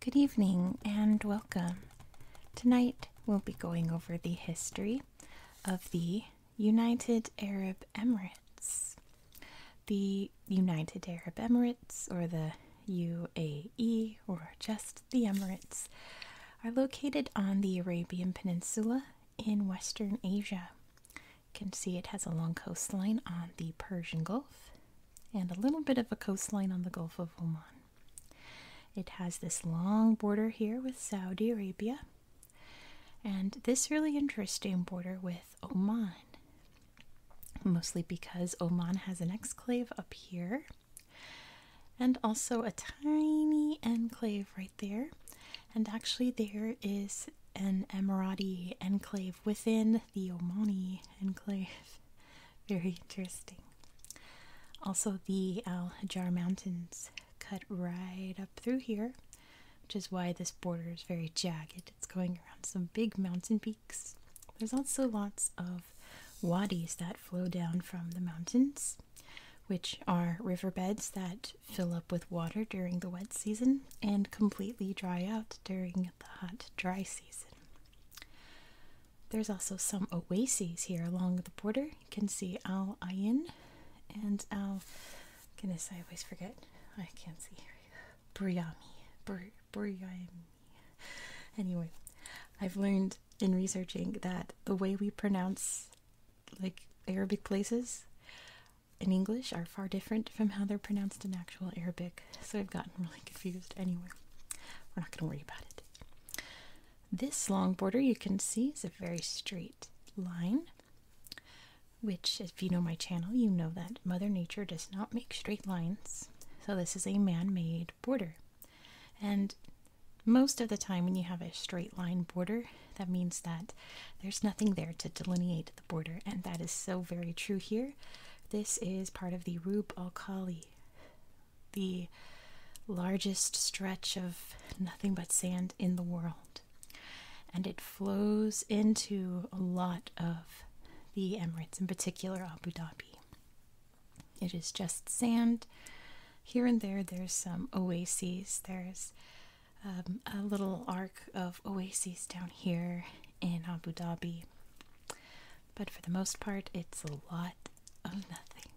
Good evening and welcome. Tonight we'll be going over the history of the United Arab Emirates. The United Arab Emirates, or the UAE, or just the Emirates, are located on the Arabian Peninsula in Western Asia. You can see it has a long coastline on the Persian Gulf and a little bit of a coastline on the Gulf of Oman. It has this long border here with Saudi Arabia and this really interesting border with Oman. Mostly because Oman has an exclave up here and also a tiny enclave right there. And actually, there is an Emirati enclave within the Omani enclave. Very interesting. Also, the Al Hajar Mountains cut right up through here, which is why this border is very jagged. It's going around some big mountain peaks. There's also lots of wadis that flow down from the mountains which are riverbeds that fill up with water during the wet season and completely dry out during the hot, dry season. There's also some oases here along the border. You can see Al Ain and Al. Goodness, I always forget. I can't see here. Buriami. Buriami. Anyway, I've learned in researching that the way we pronounce like Arabic places in English are far different from how they're pronounced in actual Arabic, so I've gotten really confused. Anyway, we're not going to worry about it. This long border you can see is a very straight line, which, if you know my channel, you know that Mother Nature does not make straight lines, so this is a man made border. And most of the time, when you have a straight line border, that means that there's nothing there to delineate the border, and that is so very true here. This is part of the Rub al Khali, the largest stretch of nothing but sand in the world, and it flows into a lot of the Emirates, in particular Abu Dhabi. It is just sand. Here and there, there's some oases. There's um, a little arc of oases down here in Abu Dhabi. But for the most part, it's a lot of nothing.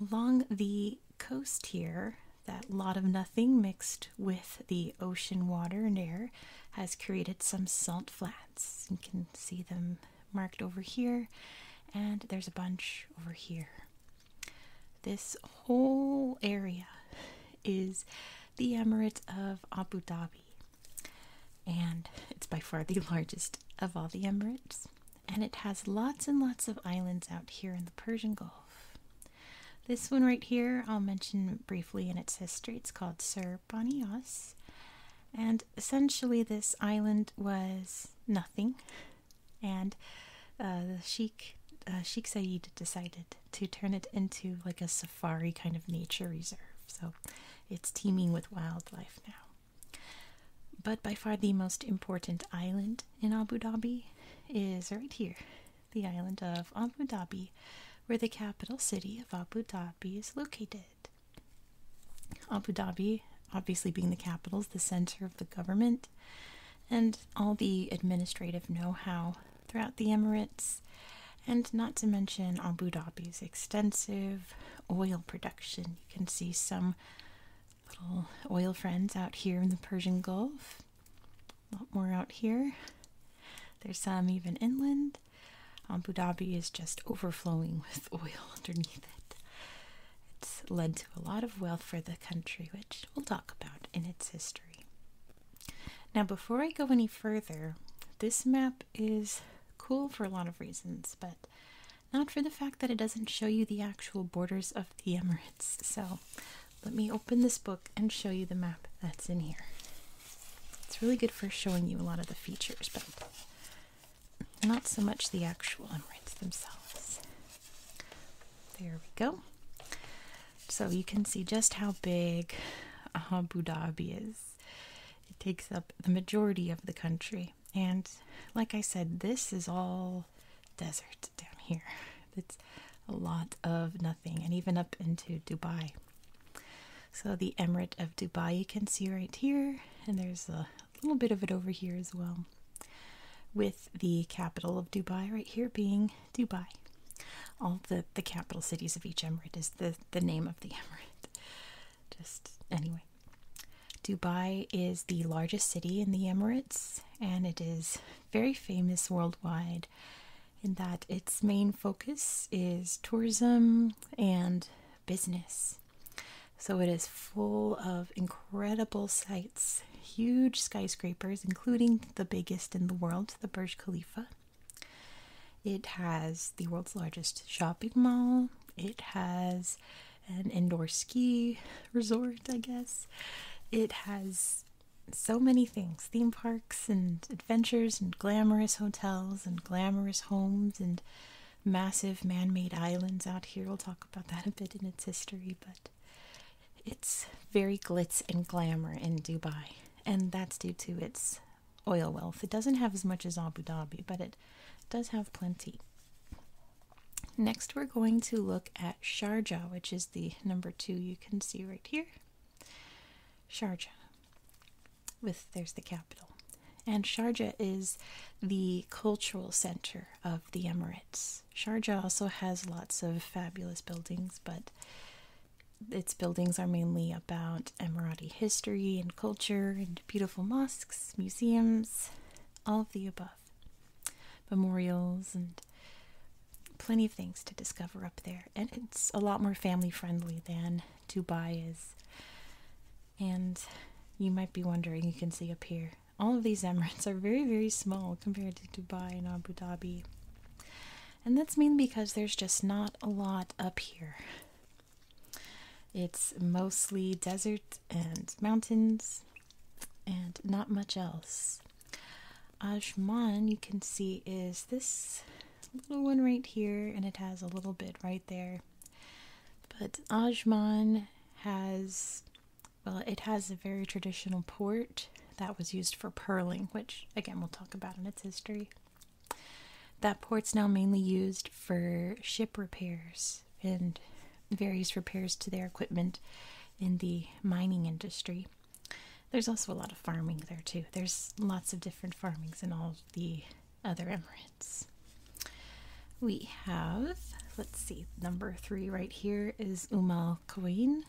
Along the coast here, that lot of nothing mixed with the ocean water and air has created some salt flats. You can see them marked over here, and there's a bunch over here. This whole area is the Emirate of Abu Dhabi, and it's by far the largest of all the Emirates. And it has lots and lots of islands out here in the Persian Gulf. This one right here, I'll mention briefly in its history. It's called Sir Banias. And essentially, this island was nothing and uh, sheikh uh, Sheikh Said decided to turn it into like a safari kind of nature reserve. So it's teeming with wildlife now. But by far the most important island in Abu Dhabi is right here, the island of Abu Dhabi, where the capital city of Abu Dhabi is located. Abu Dhabi obviously being the capitals, the center of the government, and all the administrative know how throughout the Emirates, and not to mention Abu Dhabi's extensive oil production. You can see some little oil friends out here in the Persian Gulf, a lot more out here. There's some even inland. Abu Dhabi is just overflowing with oil underneath it. It's led to a lot of wealth for the country, which we'll talk about in its history. Now, before I go any further, this map is cool for a lot of reasons, but not for the fact that it doesn't show you the actual borders of the Emirates. So, let me open this book and show you the map that's in here. It's really good for showing you a lot of the features, but not so much the actual Emirates themselves. There we go. So you can see just how big uh, Abu Dhabi is. It takes up the majority of the country. And like I said, this is all desert down here. It's a lot of nothing, and even up into Dubai. So, the Emirate of Dubai you can see right here, and there's a a little bit of it over here as well, with the capital of Dubai right here being Dubai. All the the capital cities of each emirate is the the name of the emirate. Just anyway, Dubai is the largest city in the Emirates, and it is very famous worldwide in that its main focus is tourism and business. So it is full of incredible sights huge skyscrapers, including the biggest in the world, the Burj Khalifa. It has the world's largest shopping mall. It has an indoor ski resort, I guess. It has so many things theme parks and adventures, and glamorous hotels, and glamorous homes, and massive man made islands out here. We'll talk about that a bit in its history, but it's very glitz and glamour in Dubai, and that's due to its oil wealth. It doesn't have as much as Abu Dhabi, but it does have plenty. Next, we're going to look at Sharjah, which is the number two you can see right here. Sharjah, with there's the capital. And Sharjah is the cultural center of the Emirates. Sharjah also has lots of fabulous buildings, but its buildings are mainly about Emirati history and culture and beautiful mosques, museums, all of the above. Memorials and plenty of things to discover up there. And it's a lot more family friendly than Dubai is. And you might be wondering, you can see up here all of these Emirates are very, very small compared to Dubai and Abu Dhabi. And that's mainly because there's just not a lot up here. It's mostly desert and mountains and not much else. Ajman, you can see, is this little one right here, and it has a little bit right there. But Ajman has well, it has a very traditional port that was used for purling, which again we'll talk about in its history. That port's now mainly used for ship repairs and various repairs to their equipment in the mining industry. There's also a lot of farming there too. There's lots of different farmings in all the other Emirates. We have, let's see, number three right right here is Umal Queen,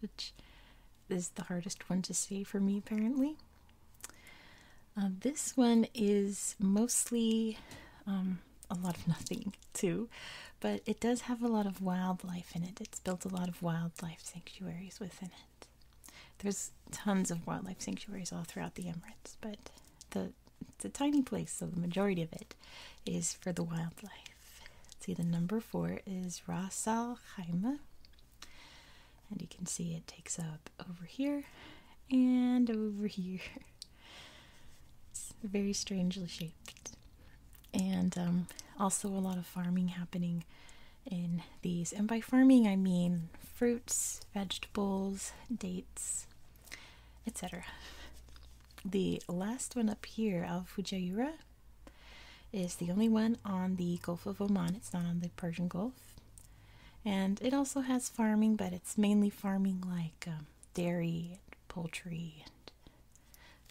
which is the hardest one to see for me apparently. Um, this one is mostly um, a lot of nothing too, but it does have a lot of wildlife in it. It's built a lot of wildlife sanctuaries within it. There's tons of wildlife sanctuaries all throughout the Emirates, but the it's a tiny place, so the majority of it is for the wildlife. See, the number four is Ras Al Khaimah, and you can see it takes up over here and over here. It's very strangely shaped, and um, also a lot of farming happening in these. And by farming, I mean fruits, vegetables, dates, etc. The last one up here, of Fujayura is the only one on the Gulf of Oman. It's not on the Persian Gulf. And it also has farming, but it's mainly farming like um, dairy and poultry and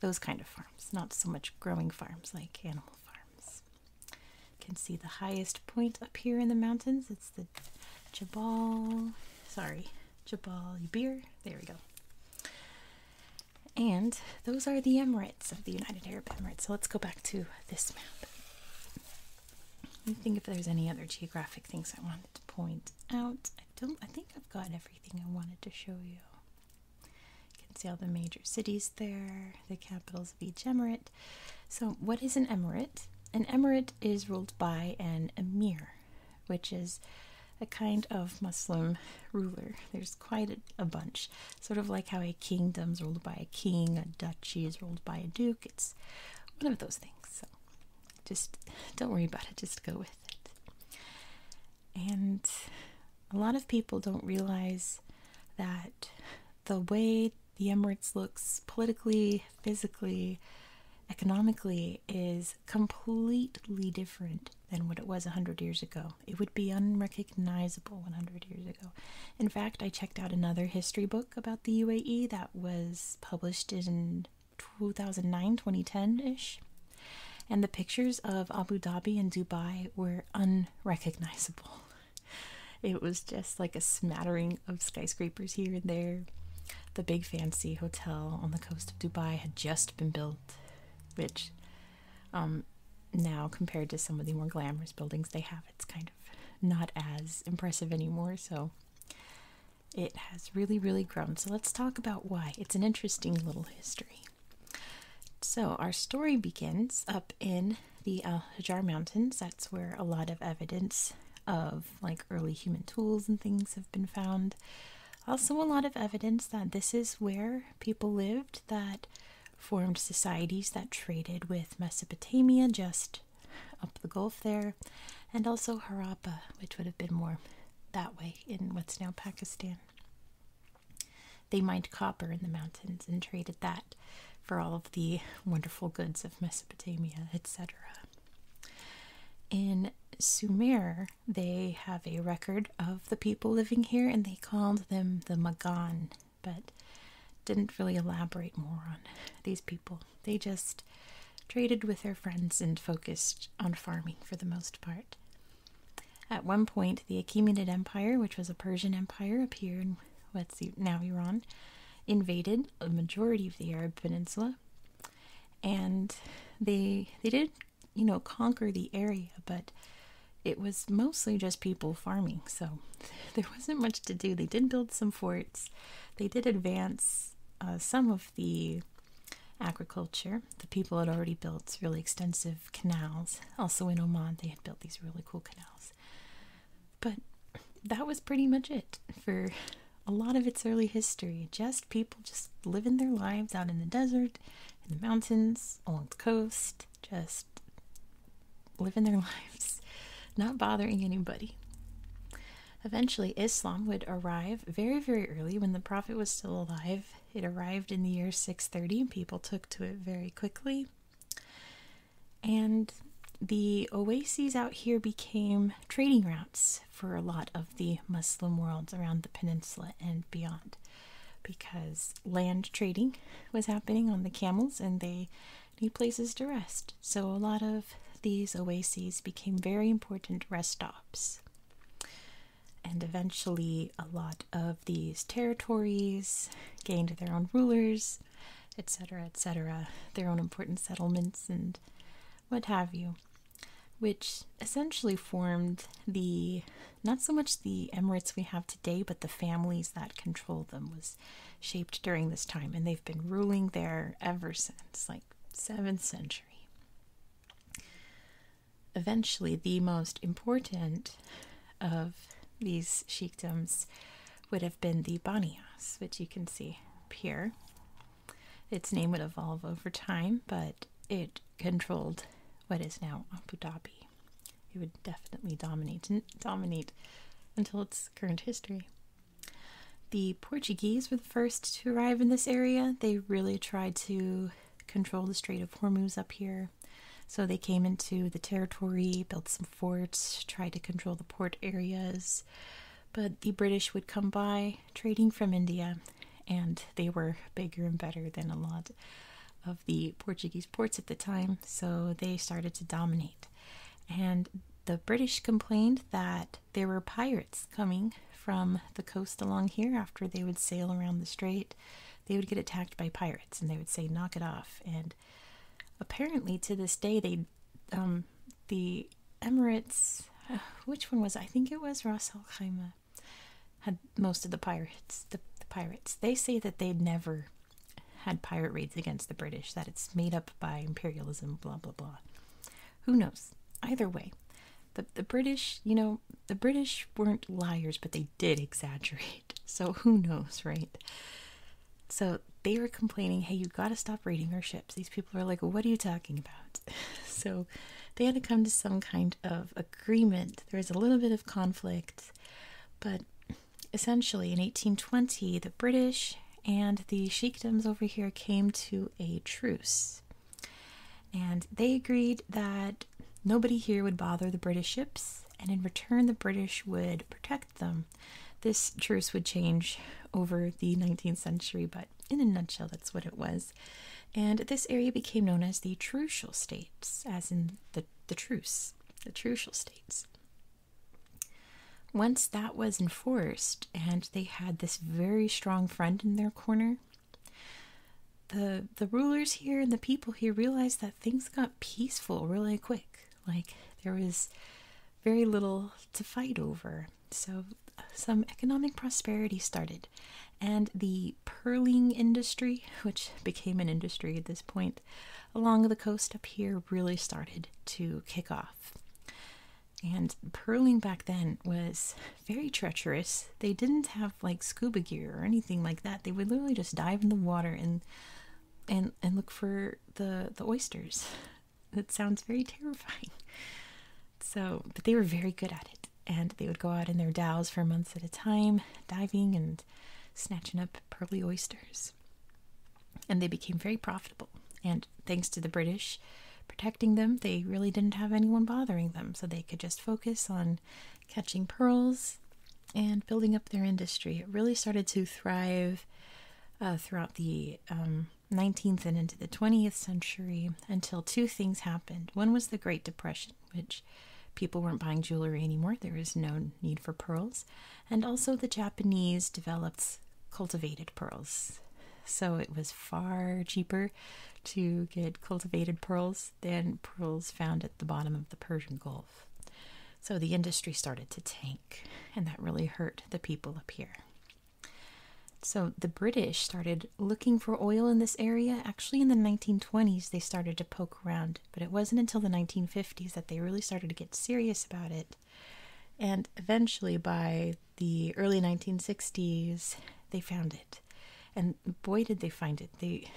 those kind of farms, not so much growing farms like animal farms. You can see the highest point up here in the mountains. It's the Jabal, sorry, Jabal Yubir. There we go. And those are the Emirates of the United Arab Emirates. So let's go back to this map. I think if there's any other geographic things I wanted to point out. I don't I think I've got everything I wanted to show you. You can see all the major cities there, the capitals of each emirate. So what is an emirate? An emirate is ruled by an emir which is a kind of Muslim ruler. There's quite a, bunch, sort of like how a kingdom's ruled by a king, a duchy is ruled by a duke. It's one of those things. So just don't worry about it, just go with it. And a lot of people don't realize that the way the Emirates looks politically, physically, economically is completely different than what it was 100 years ago. It would be unrecognizable 100 years ago. In fact, I checked out another history book about the UAE that was published in 2009, 2010 ish. And the pictures of Abu Dhabi and Dubai were unrecognizable. It was just like a smattering of skyscrapers here and there the big fancy hotel on the coast of Dubai had just been built, which um, now compared to some of the more glamorous buildings they have, it's kind of not as impressive anymore. So it has really, really grown. So let's talk about why. It's an interesting little history. So our story begins up in the Al Hajar Mountains. That's where a lot of evidence of like early human tools and things have been found. Also, a lot of evidence that this is where people lived that formed societies that traded with Mesopotamia just up the Gulf there, and also Harappa, which would have been more that way in what's now Pakistan. They mined copper in the mountains and traded that for all of the wonderful goods of Mesopotamia, etc. In Sumer, they have a record of the people living here and they called them the Magan, but didn't really elaborate more on these people. They just traded with their friends and focused on farming for the most part. At one point, the Achaemenid Empire, which was a Persian empire up here in what's now Iran, invaded a majority of the Arab Peninsula, and they they did you know, conquer the area, but it was mostly just people farming, so there wasn't much to do. They did build some forts, they did advance uh, some of the agriculture. The people had already built really extensive canals. Also in Oman, they had built these really cool canals. But that was pretty much it for a lot of its early history. Just people just living their lives out in the desert, in the mountains, along the coast, just living their lives, not bothering anybody. Eventually, Islam would arrive very, very early when the Prophet was still alive. It arrived in the year 630 people took to it very quickly. And the oases out here became trading routes for a lot of the Muslim worlds around the peninsula and beyond because land trading was happening on the camels and they need places to rest. So, a lot of these oases became very important rest stops. And eventually, a lot of these territories gained their own rulers, etc., etc., their own important settlements, and what have you which essentially formed the not so much the emirates we have today, but the families that control them was shaped during this time, and they've been ruling there ever since, like seventh century. Eventually, the most important of these sheikdoms would have been the Baniyas, which you can see up here. Its name would evolve over time, but it controlled what is now Abu Dhabi. It would definitely dominate dominate until its current history. The Portuguese were the first to arrive in this area. They really tried to control the Strait of Hormuz up here. So they came into the territory, built some forts, tried to control the port areas. But the British would come by trading from India, and they were bigger and better than a lot of the Portuguese ports at the time, so they started to dominate. And the British complained that there were pirates coming from the coast along here after they would sail around the strait. They would get attacked by pirates and they would say, knock it off. And apparently, to this day, they, um, the Emirates, uh, which one was I think it was Ras Al Khaimah, had most of the pirates. The, pirates. They say that they never had pirate raids against the British. That it's made up by imperialism. Blah blah blah. Who knows? Either way, the the British. You know, the British weren't liars, but they did exaggerate. So who knows, right? So they were complaining, hey, you gotta stop raiding our ships. These people are like, what are you talking about. so they had to come to some kind of agreement. There was a little bit of conflict, but essentially in 1820, the British and the sheikdoms over here came to a truce. And they agreed that nobody here would bother the British ships, and in return, the British would protect them. This truce would change over the 19th century, but in a nutshell, that's what it was. And this area became known as the Trucial States, as in the, the truce, the Trucial States. Once that was enforced, and they had this very strong friend in their corner, the the rulers here and the people here realized that things got peaceful really quick. Like there was very little to fight over, so some economic prosperity started, and the pearling industry, which became an industry at this point, along the coast up here really started to kick off. And pearling back then was very treacherous. They didn't have like scuba gear or anything like that. They would literally just dive in the water and and and look for the the oysters. That sounds very terrifying. So, but they were very good at it and they would go out in their dows for months at a time, diving and snatching up pearly oysters. And they became very profitable. And thanks to the British protecting them, they really didn't have anyone bothering them, so they could just focus on catching pearls and building up their industry. It really started to thrive uh, throughout the 19th um, and into the 20th century until two things happened. One was the Great Depression which people weren't buying jewelry anymore. There was no need for pearls. And also, the Japanese developed cultivated pearls. So it was far cheaper to get cultivated pearls than pearls found at the bottom of the Persian Gulf. So the industry started to tank, and that really hurt the people up here. So the British started looking for oil in this area, actually in the 1920s, they started to poke around, but it wasn't until the 1950s that they really started to get serious about it. And eventually, by the early 1960s, they found it. And boy, did they find it! They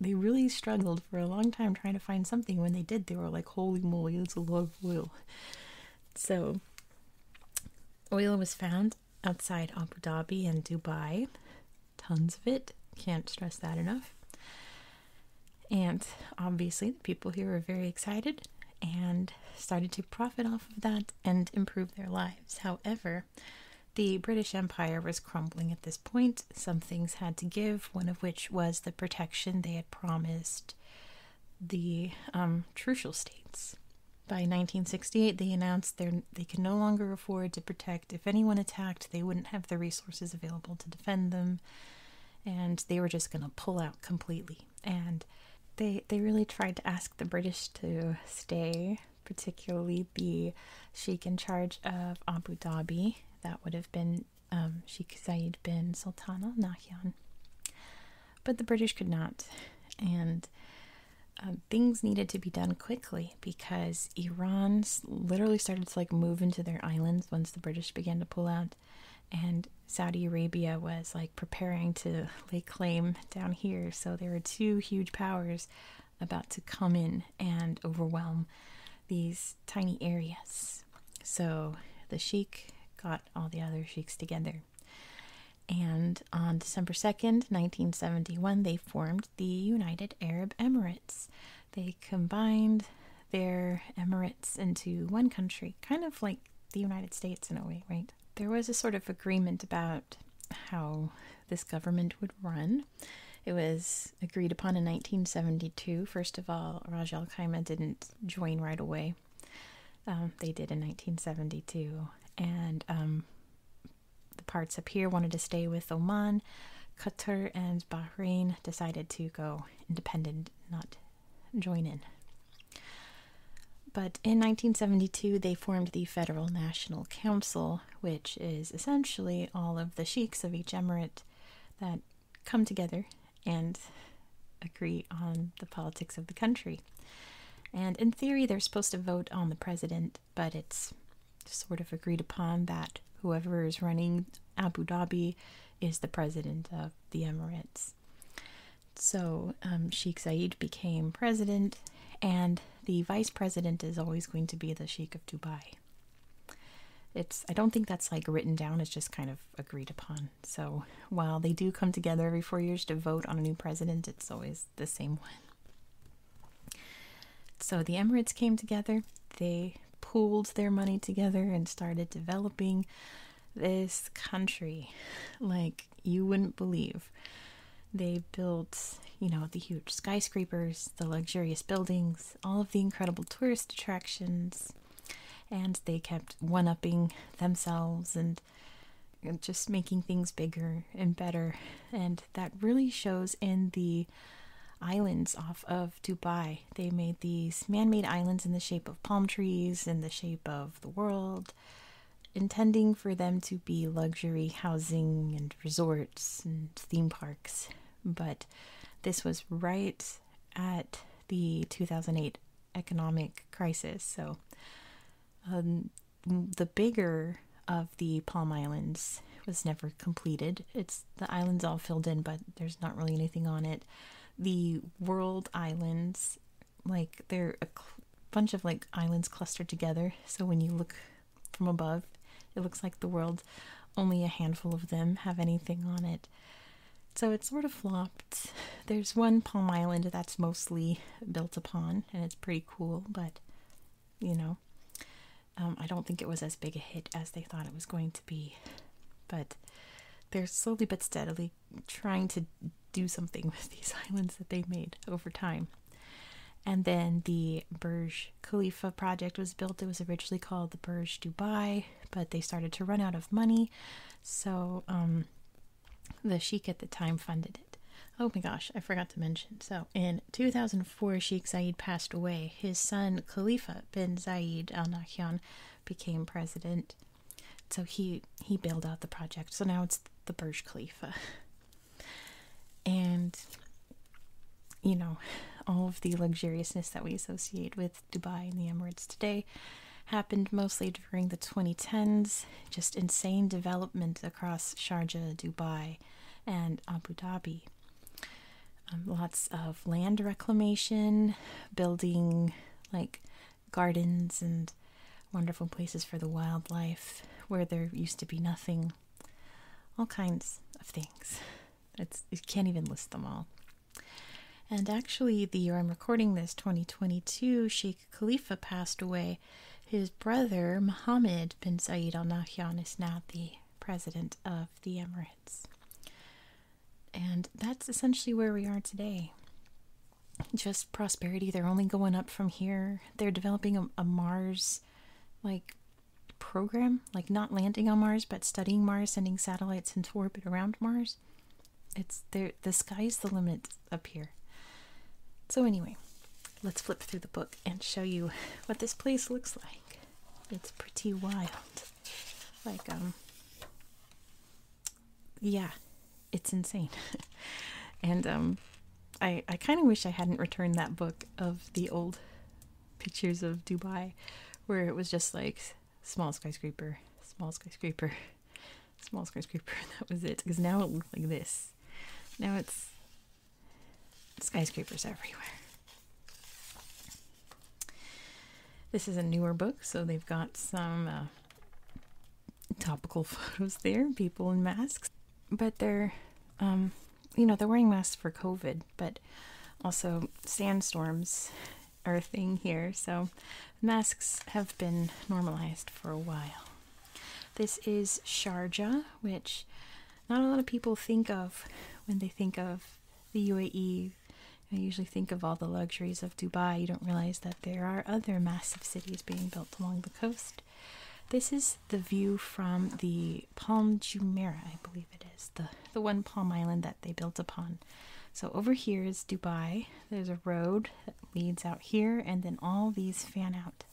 they really struggled for a long time trying to find something. When they did, they were like, "Holy moly, that's a lot of oil!" So, oil was found outside Abu Dhabi and Dubai. Tons of it. Can't stress that enough. And obviously, the people here were very excited and started to profit off of that and improve their lives. However, the British Empire was crumbling at this point. Some things had to give, one of which was the protection they had promised the um, Trucial states. By 1968, they announced they could no longer afford to protect. If anyone attacked, they wouldn't have the resources available to defend them, and they were just going to pull out completely. And they they really tried to ask the British to stay, particularly the sheikh in charge of Abu Dhabi. That would have been um, Sheikh Zayed bin Sultan Al Nahyan. But the British could not, and um, things needed to be done quickly because Iran literally started to like move into their islands once the British began to pull out, and Saudi Arabia was like preparing to lay claim down here. So there were two huge powers about to come in and overwhelm these tiny areas. So the sheikh got all the other sheikhs together. And on December 2nd, 1971, they formed the United Arab Emirates. They combined their emirates into one country, kind of like the United States in a way, right? There was a sort of agreement about how this government would run. It was agreed upon in 1972. First of all, Raj Al Khaimah didn't join right away. Um, they did in 1972. And um, the parts up here wanted to stay with Oman. Qatar and Bahrain decided to go independent, not join in. But in 1972, they formed the Federal National Council, which is essentially all of the sheikhs of each emirate that come together and agree on the politics of the country. And in theory, they're supposed to vote on the president, but it's sort of agreed upon that whoever is running Abu Dhabi is the president of the Emirates. So um, Sheikh Zayed became president, and the vice president is always going to be the Sheikh of Dubai. It's I don't think that's like written down, it's just kind of agreed upon. So while they do come together every four years to vote on a new president, it's always the same one. So the Emirates came together, they pooled their money together and started developing this country like you wouldn't believe. They built, you know, the huge skyscrapers, the luxurious buildings, all of the incredible tourist attractions, and they kept one upping themselves and just making things bigger and better and that really shows in the islands off of Dubai. They made these man made islands in the shape of palm trees, in the shape of the world, intending for them to be luxury housing and resorts and theme parks. But this was right at the 2008 economic crisis, so um, the bigger of the Palm Islands was never completed. It's the islands all filled in, but there's not really anything on it. The World Islands, like they're a bunch of like islands clustered together. So when you look from above, it looks like the world. Only a handful of them have anything on it. So it sort of flopped. There's one palm island that's mostly built upon, and it's pretty cool, but you know. Um, I don't think it was as big a hit as they thought it was going to be, but they're slowly but steadily trying to do something with these islands that they made over time. And then the Burj Khalifa project was built. It was originally called the Burj Dubai, but they started to run out of money, so um, the sheikh at the time funded it. Oh my gosh, I forgot to mention. So, in 2004, Sheikh Zayed passed away. His son, Khalifa bin Zayed Al Nahyan, became president. So he he bailed out the project. So now it's the Burj Khalifa. And you know, all of the luxuriousness that we associate with Dubai and the Emirates today happened mostly during the 2010s. Just insane development across Sharjah, Dubai, and Abu Dhabi. Um, lots of land reclamation, building like gardens and wonderful places for the wildlife where there used to be nothing. All kinds of things. It's, you can't even list them all. And actually, the year I'm recording this, 2022, Sheikh Khalifa passed away his brother, Mohammed bin Saeed al Nahyan, is now the president of the Emirates. And that's essentially where we are today. Just prosperity. They're only going up from here. They're developing a, Mars like program, like not landing on Mars, but studying Mars, sending satellites into orbit around Mars. It's the sky's the limit up here. So anyway, let's flip through the book and show you what this place looks like. It's pretty wild. Like, um, yeah, it's insane. and, um, I, I kind of wish I hadn't returned that book of the old pictures of Dubai where it was just like small skyscraper, small skyscraper, small skyscraper, that was it. Because now it looks like this. Now it's Skyscrapers everywhere. This is a newer book, so they've got some uh, topical photos there, people in masks. But they're, um, you know, they're wearing masks for COVID, but also sandstorms are a thing here, so masks have been normalized for a while. This is Sharjah, which not a lot of people think of when they think of the UAE. I usually think of all the luxuries of Dubai. You don't realize that there are other massive cities being built along the coast. This is the view from the Palm Jumeirah, I believe it is, the, the one palm island that they built upon. So over here is Dubai. There's a road that leads out here, and then all these fan out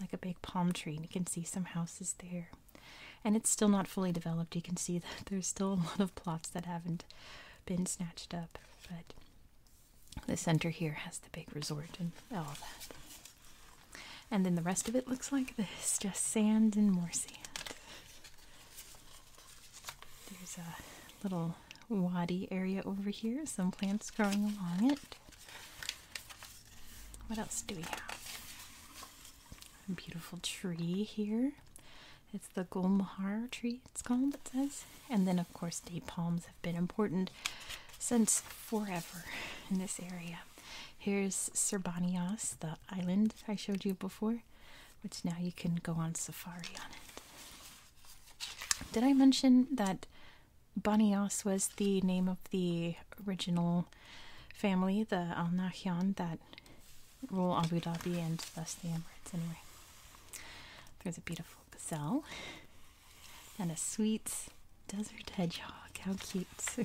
like a big palm tree, and you can see some houses there. And it's still not fully developed. You can see that there's still a lot of plots that haven't been snatched up, but the center here has the big resort and all that. And then the rest of it looks like this just sand and more sand. There's a little wadi area over here, some plants growing along it. What else do we have? A beautiful tree here. It's the Golmahar tree, it's called, it says. And then, of course, date palms have been important since forever in this area. Here's Serbanias, the island I showed you before, which now you can go on safari on it. Did I mention that Banias was the name of the original family, the Al Nahyan, that rule Abu Dhabi and thus the Emirates. Anyway, there's a beautiful gazelle and a sweet desert hedgehog. How cute! see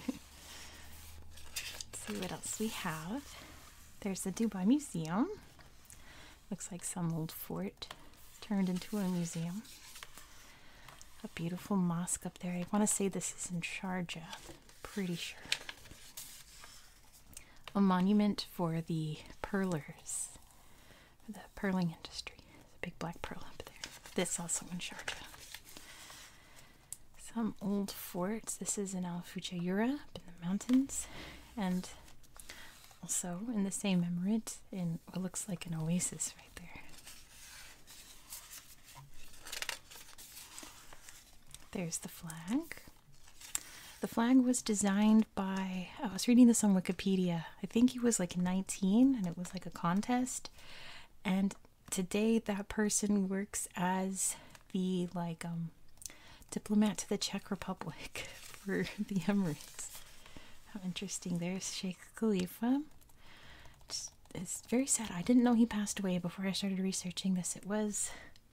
what else we have. There's the Dubai Museum. Looks like some old fort turned into a museum a beautiful mosque up there. I want to say this is in Sharjah, pretty sure. A monument for the pearlers, for the pearling industry. big black pearl up there. This also in Sharjah. Some old forts. This is in Al Fujayura, up in the mountains, and also in the same emirate in what looks like an oasis right there. There's the flag. The flag was designed by, I was reading this on Wikipedia. I think he was like 19 and it was like a contest. And today that person works as the like um, diplomat to the Czech Republic for the Emirates. How interesting. There's Sheikh Khalifa it's very sad. I didn't know he passed away before I started researching this. It was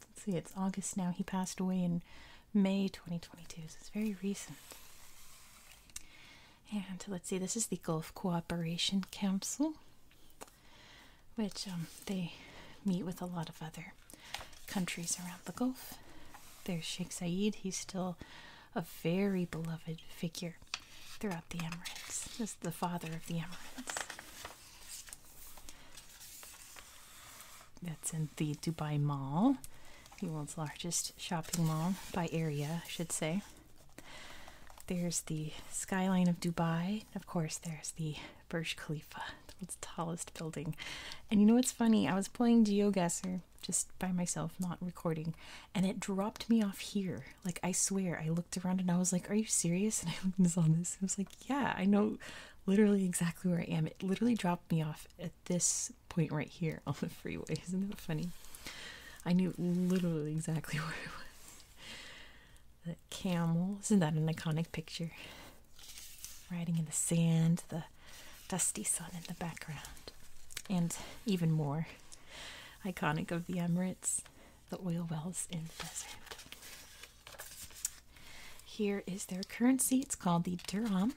let's see, it's August now. He passed away in May 2022, so it's very recent. And let's see, this is the Gulf Cooperation Council, which um, they meet with a lot of other countries around the Gulf. There's Sheikh Zayed, he's still a very beloved figure throughout the Emirates. as the father of the Emirates. That's in the Dubai Mall, the world's largest shopping mall by area, I should say. There's the skyline of Dubai. Of course, there's the Burj Khalifa, the world's tallest building. And you know what's funny? I was playing Gasser just by myself, not recording, and it dropped me off here. Like I swear, I looked around and I was like, "Are you serious?" And I looked and saw this. I was like, "Yeah, I know, literally exactly where I am." It literally dropped me off at this point right here on the freeway. Isn't that funny? I knew literally exactly where it was. The camel. Isn't that an iconic picture? Riding in the sand, the dusty sun in the background, and even more iconic of the Emirates the oil wells in the desert. Here is their currency. It's called the dirham.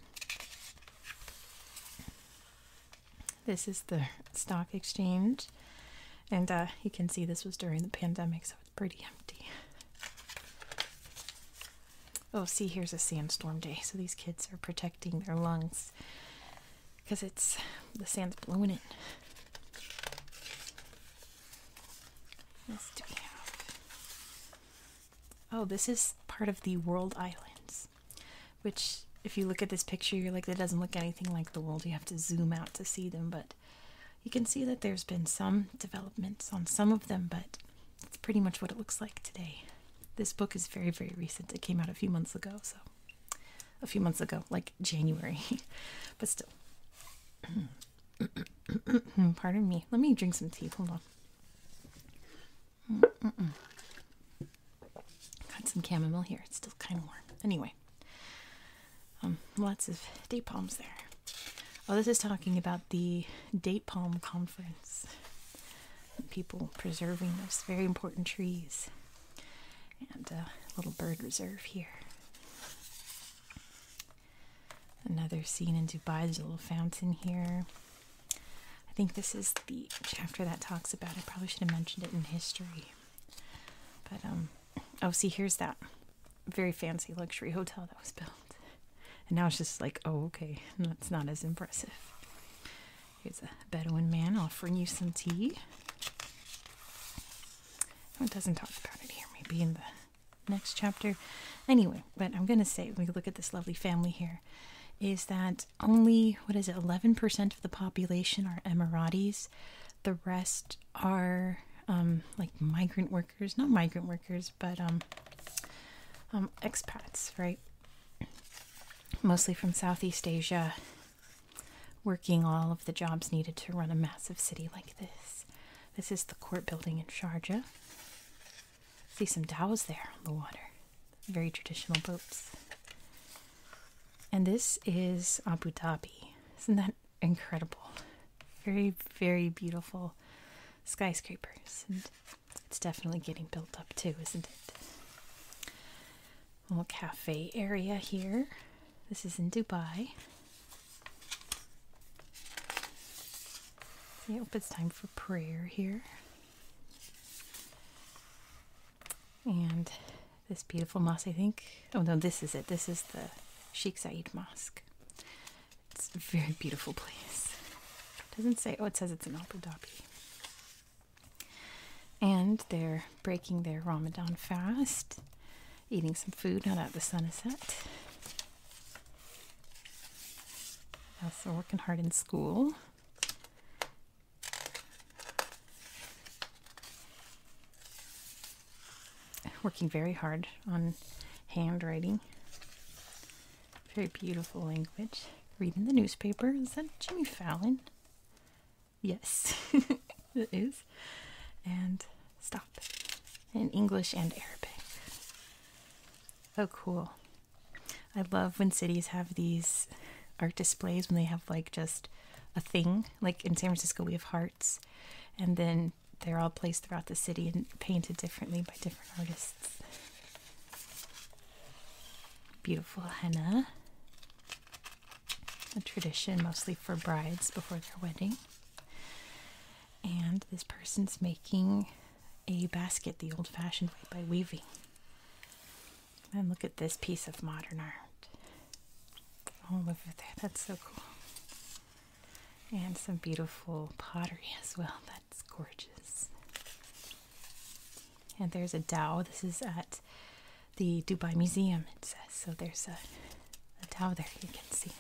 This is the stock exchange. And uh, you can see this was during the pandemic, so it's pretty empty. Oh, see, here's a sandstorm day. So these kids are protecting their lungs because it's the sand's blowing it. What do we have? Oh, this is part of the World Islands, which if you look at this picture, you're like, that doesn't look anything like the world. You have to zoom out to see them, but you can see that there's been some developments on some of them, but it's pretty much what it looks like today. This book is very, very recent. It came out a few months ago, so a few months ago, like January, but still. Pardon me. Let me drink some tea. Hold on. Got some chamomile here. It's still kind of warm. Anyway, um, lots of date palms there. Oh, this is talking about the date palm conference. People preserving those very important trees and a little bird reserve here. Another scene in Dubai, there's a little fountain here. I think this is the chapter that talks about. I probably should have mentioned it in history. But, um, oh, see, here's that very fancy luxury hotel that was built. And now it's just like, oh, okay, that's not as impressive. Here's a Bedouin man offering you some tea. Oh, it doesn't talk about it here. Maybe in the next chapter. Anyway, but I'm going to say we look at this lovely family here, is that only what is it? Eleven percent of the population are Emiratis. The rest are um, like migrant workers, not migrant workers, but um, um expats, right? Mostly from Southeast Asia working all of the jobs needed to run a massive city like this. This is the court building in Sharjah. See some dhows there on the water. Very traditional boats. And this is Abu Dhabi. Isn't that incredible? Very, very beautiful skyscrapers. And it's definitely getting built up too, isn't it? little cafe area here. This is in Dubai. I hope it's time for prayer here. And this beautiful mosque, I think. Oh no, this is it. This is the Sheikh Zayed Mosque. It's a very beautiful place. It doesn't say, oh, it says it's in Abu Dhabi. And they're breaking their Ramadan fast, eating some food Not that the sun is set. Also working hard in school. Working very hard on handwriting. Very beautiful language. Reading the newspaper. Is that Jimmy Fallon? Yes, it is. And stop in English and Arabic. Oh, cool. I love when cities have these art displays when they have like just a thing. Like in San Francisco, we have hearts, and then they're all placed throughout the city and painted differently by different artists. Beautiful Hannah a tradition mostly for brides before their wedding. And this person's making a basket the old fashioned way by weaving. And look at this piece of modern art. All over there. That's so cool. And some beautiful pottery as well. That's gorgeous. And there's a dhow. This is at the Dubai Museum, it says. So there's a, a tower there you can see.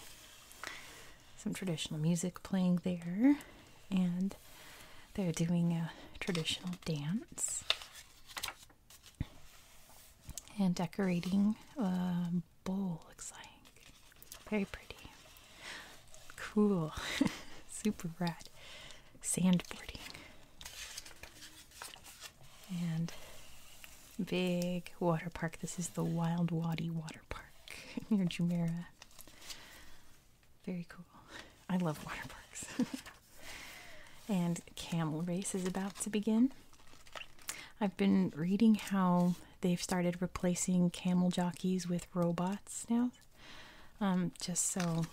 Some traditional music playing there, and they're doing a traditional dance and decorating a bowl, looks like. Very pretty. Cool. Super rad. Sandboarding. And big water park. This is the Wild Wadi Water Park near Jumeirah. Very cool. I love water parks. and camel race is about to begin. I've been reading how they've started replacing camel jockeys with robots now, um, just so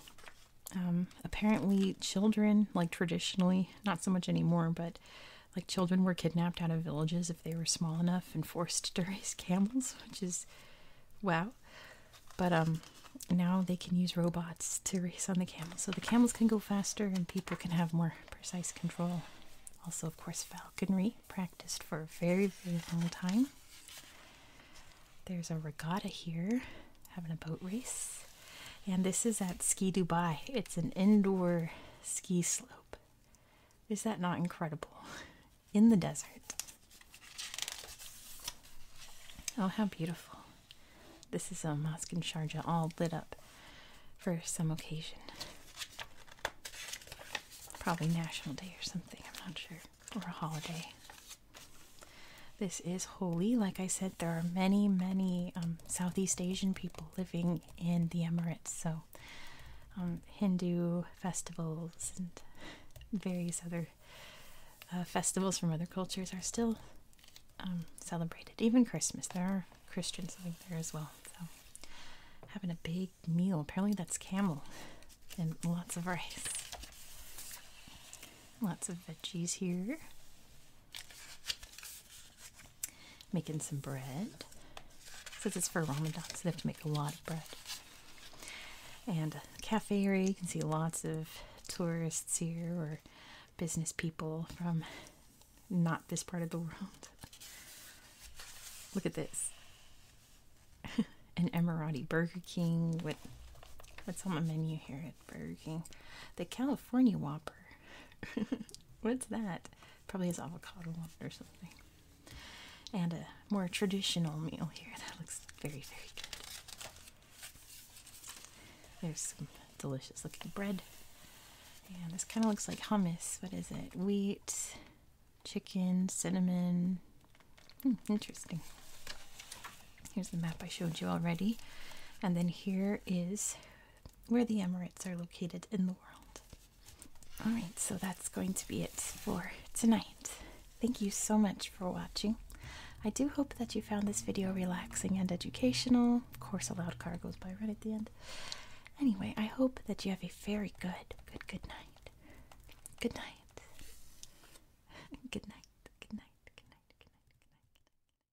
um, apparently children like traditionally not so much anymore but like children were kidnapped out of villages if they were small enough and forced to race camels which is wow but um now they can use robots to race on the camels so the camels can go faster and people can have more precise control also of course falconry practiced for a very very long time there's a regatta here having a boat race and this is at Ski Dubai. It's an indoor ski slope. Is that not incredible? In the desert. Oh, how beautiful. This is a mosque in Sharjah all lit up for some occasion. Probably National Day or something, I'm not sure, or a holiday. This is holy, like I said there are many, many um, Southeast Asian people living in the Emirates, so um, Hindu festivals and various other uh, festivals from other cultures are still um, celebrated. Even Christmas, there are Christians living there as well. So having a big meal. Apparently that's camel and lots of rice. Lots of veggies here. Making some bread. Since it's for Ramadan, so they have to make a lot of bread. And cafe area, you can see lots of tourists here or business people from not this part of the world. Look at this. An Emirati Burger King. what's on the menu here at Burger King? The California Whopper. What's that? Probably is avocado or something. And a more traditional meal here. That looks very, very good. There's some delicious looking bread. And this kind of looks like hummus. What is it? Wheat, chicken, cinnamon. Hmm, interesting. Here's the map I showed you already. And then here is where the Emirates are located in the world. All right, so that's going to be it for tonight. Thank you so much for watching. I do hope that you found this video relaxing and educational. Of course, a loud car goes by right at the end. Anyway, I hope that you have a very good, good, good night. Good night. Good night. Good night. Good night. Good night. Good night.